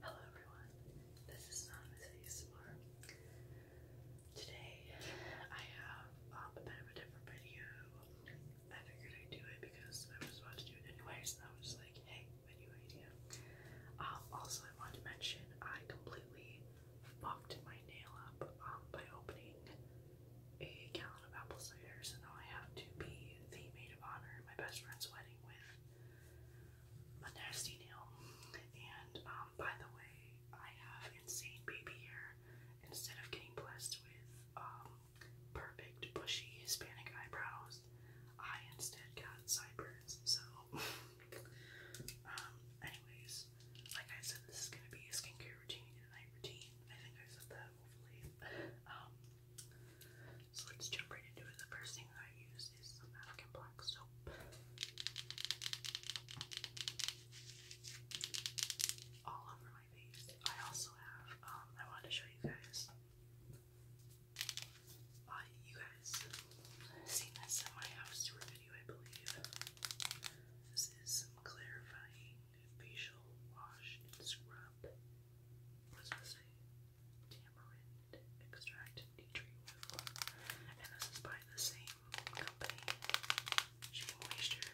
Hello everyone, this is Anonymous ASMR. Today I have um, a bit of a different video. I figured I'd do it because I was about to do it anyways I was like, hey, video idea. Um, also I wanted to mention I completely fucked my nail up um, by opening a gallon of apple cider so now I have to be the maid of honor at my best friend's wedding with a nasty nail. And um, by the way, I have insane baby hair. Instead of getting blessed with um, perfect bushy Hispanic eyebrows, I instead got sideburns. So, um, anyways, like I said, this is gonna be a skincare routine a night routine. I think I said that hopefully. So let's jump right into it. The first thing I use is some African black soap. All over my face. I also have, um, I wanted to show you guys. Uh, you guys seen this in my house tour video, I believe. This is some clarifying facial wash and scrub. What does it say? tamarind extract nutri oil, and this is by the same company, Shea Moisture.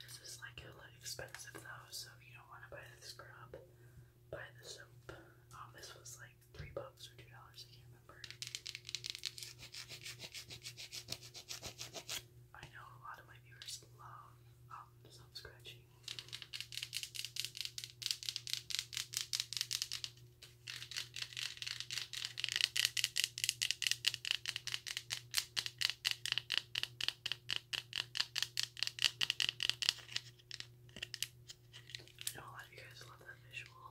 This is like hella expensive though, so if you don't want to buy the scrub, buy the soap. Um, this was like three bucks or two dollars. I can't remember. I know a lot of my viewers love um, soap scratching. I know a lot of you guys love that visual.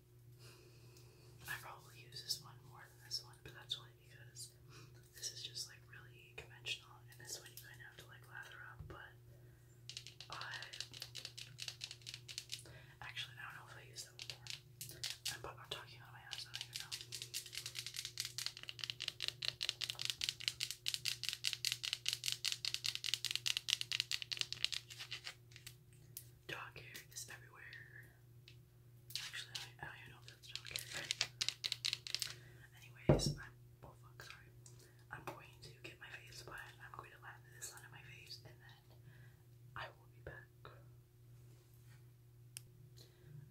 I probably use this one more than this one, but that's only because this is just like really conventional, and this one you kind of have to like lather up. But I actually I don't know if I use that one more. I'm, talking out my ass. I don't even know. Dog hair is everywhere. Actually, I don't even know if that's not carried. Anyways, oh fuck, sorry. I'm going to get my face but I'm going to lather this onto my face and then I will be back.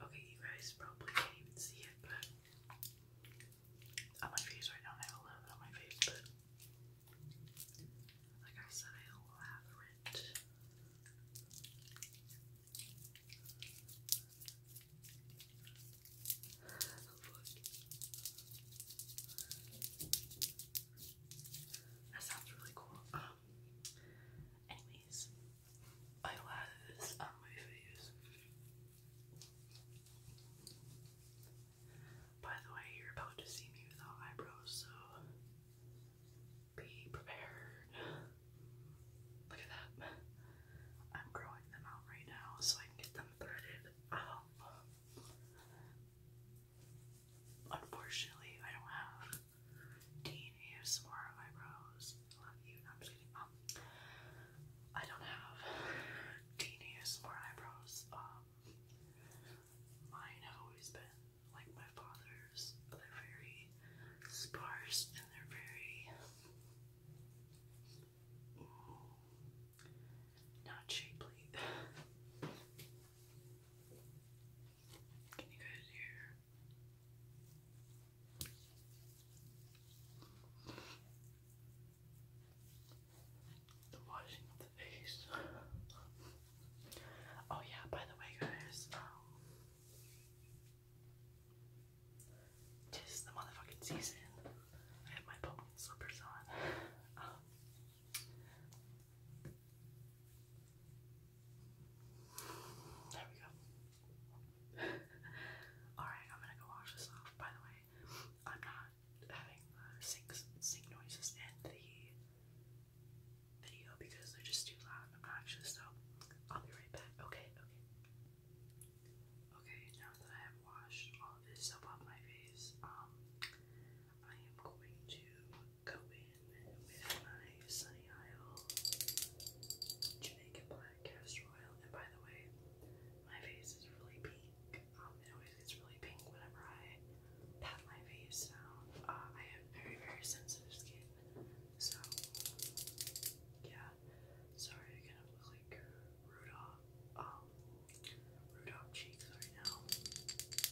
Okay, you guys probably can't even see it, but on my face right now, I have a little on my face, like I said, I love it. That sounds really cool. Um, anyways, I love this um, on my face. By the way, you're about to see me without eyebrows, so be prepared. Look at that. I'm growing them out right now so I can get them threaded out. Unfortunately, I don't have Dean ASMR eyebrows. love you. I'm just kidding. Um, I don't have Dean ASMR eyebrows. Um, mine have always been like my father's, they're very sparse and they're very mm, not shapely. Can you guys hear? The washing Oh yeah, by the way guys, um tis the motherfucking season. I have my pumpkin slippers on. Um, there we go. Alright, I'm gonna go wash this off. By the way, I'm not having the sink, sink noises and the video because they're just too loud and obnoxious, so I'll be right back. Okay, okay. Okay, now that I have washed all this up off my face, um, I am going to go in with my Sunny Isle Jamaican Black Castor Oil, and by the way, my face is really pink. Um, it always gets really pink whenever I pat my face now. Uh, I have very, very sensitive skin. So, yeah. Sorry, I kind of look like Rudolph, um, Rudolph cheeks right now. Okay,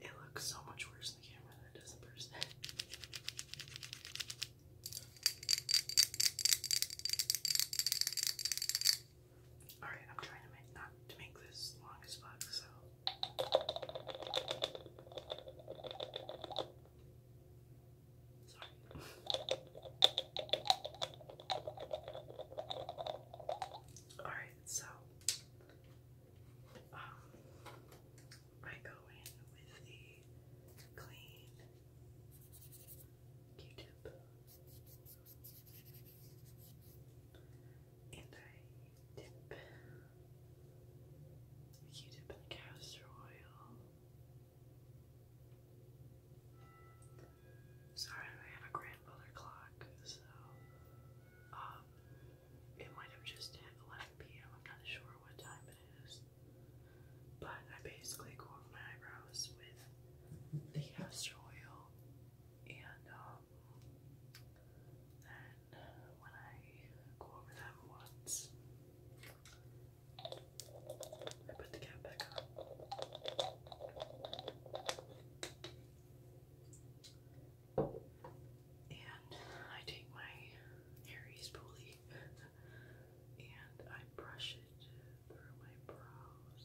It looks so much worse in the camera than it does in person. Alright, I'm trying to make not to make this long as fuck, so Sorry. Alright, so um, I go in with the clean Q-tip and I dip Q-tip in castor oil. Sorry, I have a grandmother clock, so um, it might have just hit 11 p.m. I'm not sure what time it is, but I basically go over my eyebrows with the castor oil, and um, then when I go over them once. I put the cap back on. And I take my Harry's pulley and I brush it through my brows.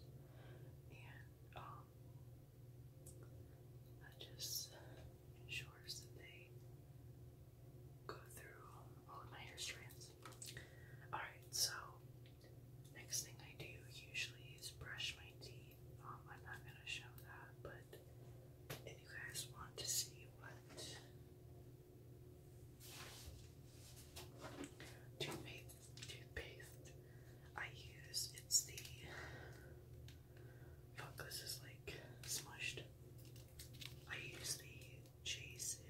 And, um, that just ensures that they go through all my hair strands. Alright, so next thing I do usually is brush my teeth. Um, I'm not gonna show that, but if you guys want to see what toothpaste, toothpaste I use, it's the fuck this is like smushed. I use the Jason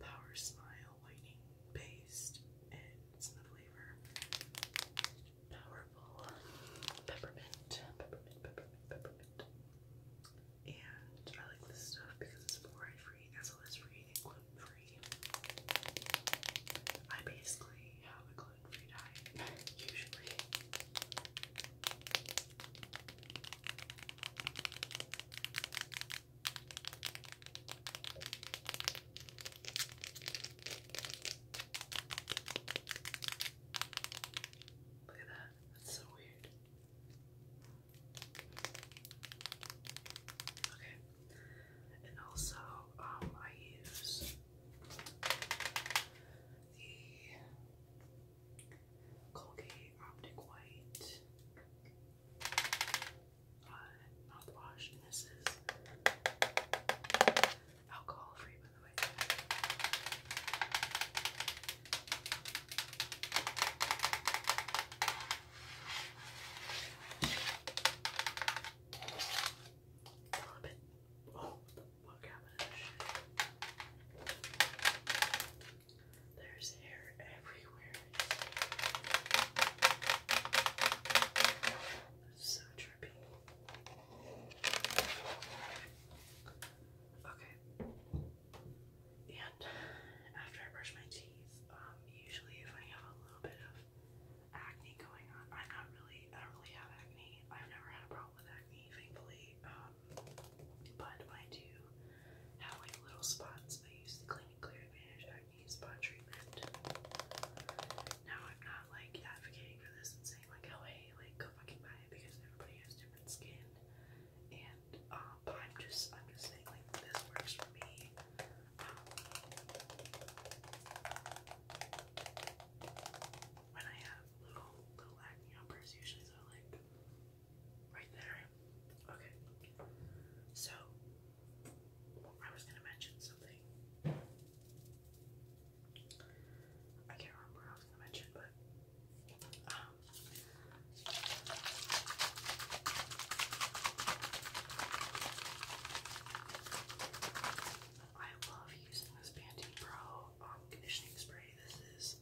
Power Smile Whitening Paste, and it's in the flavor Powerful Peppermint, Peppermint, Peppermint, Peppermint. And I like this stuff because it's fluoride free, SLS free, gluten free. I basically have a gluten free diet, usually. Look at that. That's so weird. Okay. And also, um, I use the Colgate Optic White uh, mouthwash, this is alcohol free, by the way. A little Oh, what the fuck happened there's hair everywhere. So trippy. Okay. And after I brush my teeth, um, usually if I have a little bit of acne going on, I'm not really, I don't really have acne. I've never had a problem with acne, thankfully. Um, but when I do have like little spots, I use the Clean and Clear Advantage Acne Spot Treatment. Now I'm not like advocating for this and saying like, oh hey, like go fucking buy it because everybody has different skin. And um, but I'm just I'm just saying like this works for me. Um, when I have little little acne numbers, usually they're like Right there. Okay. So, I was going to mention something. I can't remember what I was going to mention, but. Um, I love using this Pantene Pro um, conditioning spray. This is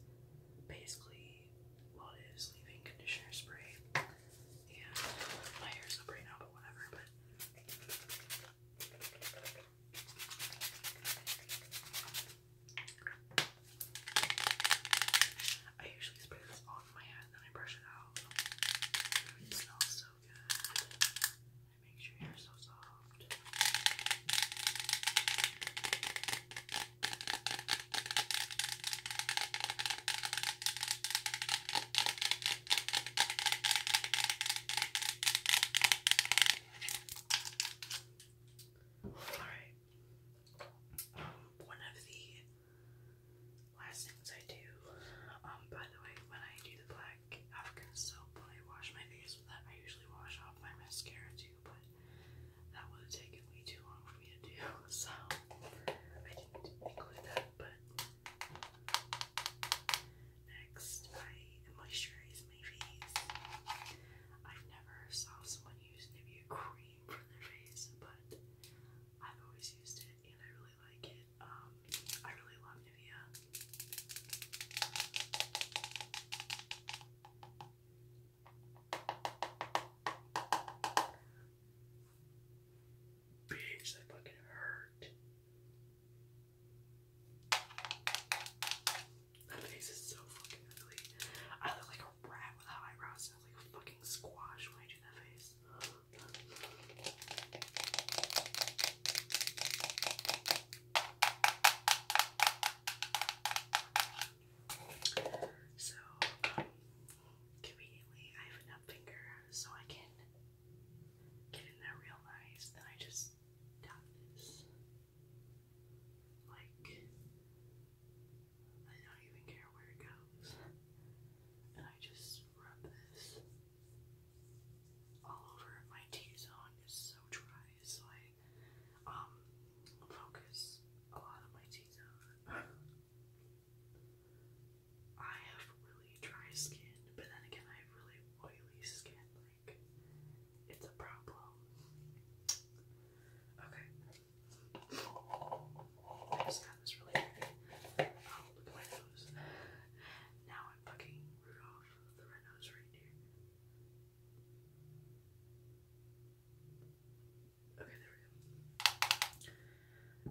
basically what well, conditioner spray. And my hair's up right now, but whatever. But I usually spray this on my head, then I brush it out. It smells so good. It makes your hair so soft. Alright. Um, one of the last things I do, um, by the way, when I do the black African soap, when I wash my face with that, I usually wash off my mascara too but that would have taken way too long for me to do, so I didn't include that. But next, I moisturize my face. I've never saw someone use Nivea cream for their face, but I've always used it and I really like it. Um, I really love Nivea. Bitch, that fucking hurt. My face is so fucking ugly. I look like a rat without eyebrows. I look like a fucking squash when I do that face. So, conveniently, I have an up so I can get in there real nice. Then I just tap this. Like, I don't even care where it goes. And I just rub this all over. My T zone is so dry, so I um, focus a lot of my teeth I have really dry skin, but then again I have really oily skin, like it's a problem. Okay. just got this really Oh, look at my nose. Now I'm fucking Rudolph the Red Nose Reindeer. Okay, there we go.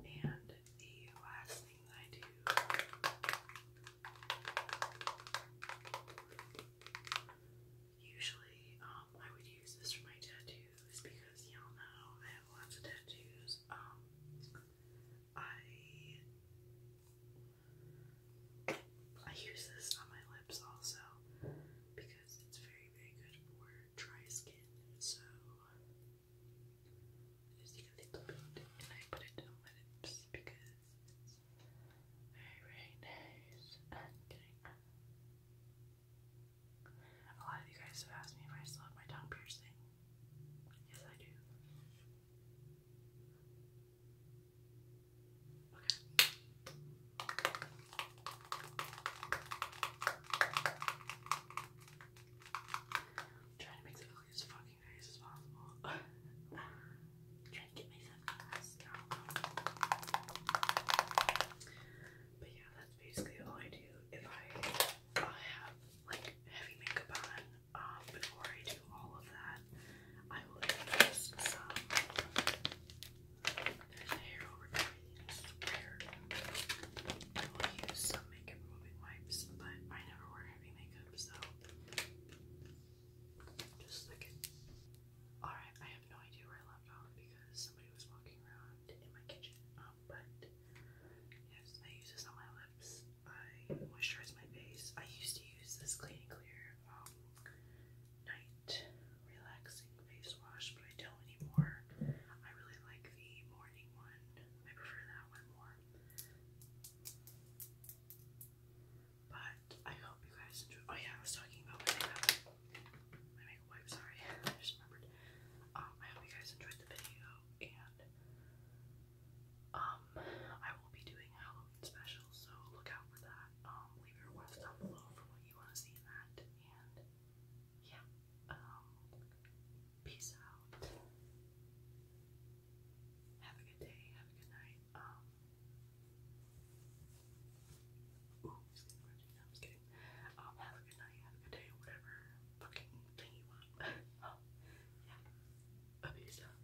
And the last thing that I do usually um I would use this for my tattoos because y'all know I have lots of tattoos. Um I I use this on my lips also because it's very, very good for dry skin. So I just take a little bit and I put it on my lips because it's very, nice. a lot of you guys have asked me if I still have my tongue piercing. Yes, I do trying to make it look as fucking nice as possible. trying to get myself class now. But yeah, that's basically all I do if I have like heavy makeup on. Um, before I do all of that, I will use some. hair over everything, I will use some makeup removing wipes, but I never wear heavy makeup, so just look at. Alright, I have no idea where I left off because somebody was walking around in my kitchen. Um, but yes, I use this on my lips. I moisturize my face. I used to use this Clean and Clear um, night relaxing face wash, but I don't anymore. I really like the morning one. I prefer that one more. But I hope you guys enjoy. Oh yeah, I was talking about makeup. My makeup wipe. Sorry, I just remembered. Um, I hope you guys enjoyed the video, and um, I will be doing Halloween special, so look out for that. Um, leave your requests down below for what you want to see in that, and yeah, um, peace out. Have a good day, have a good night. Um, ooh, just kidding, I'm kidding. Um, have a good night, have a good day, whatever fucking thing you want. yeah, a peace out.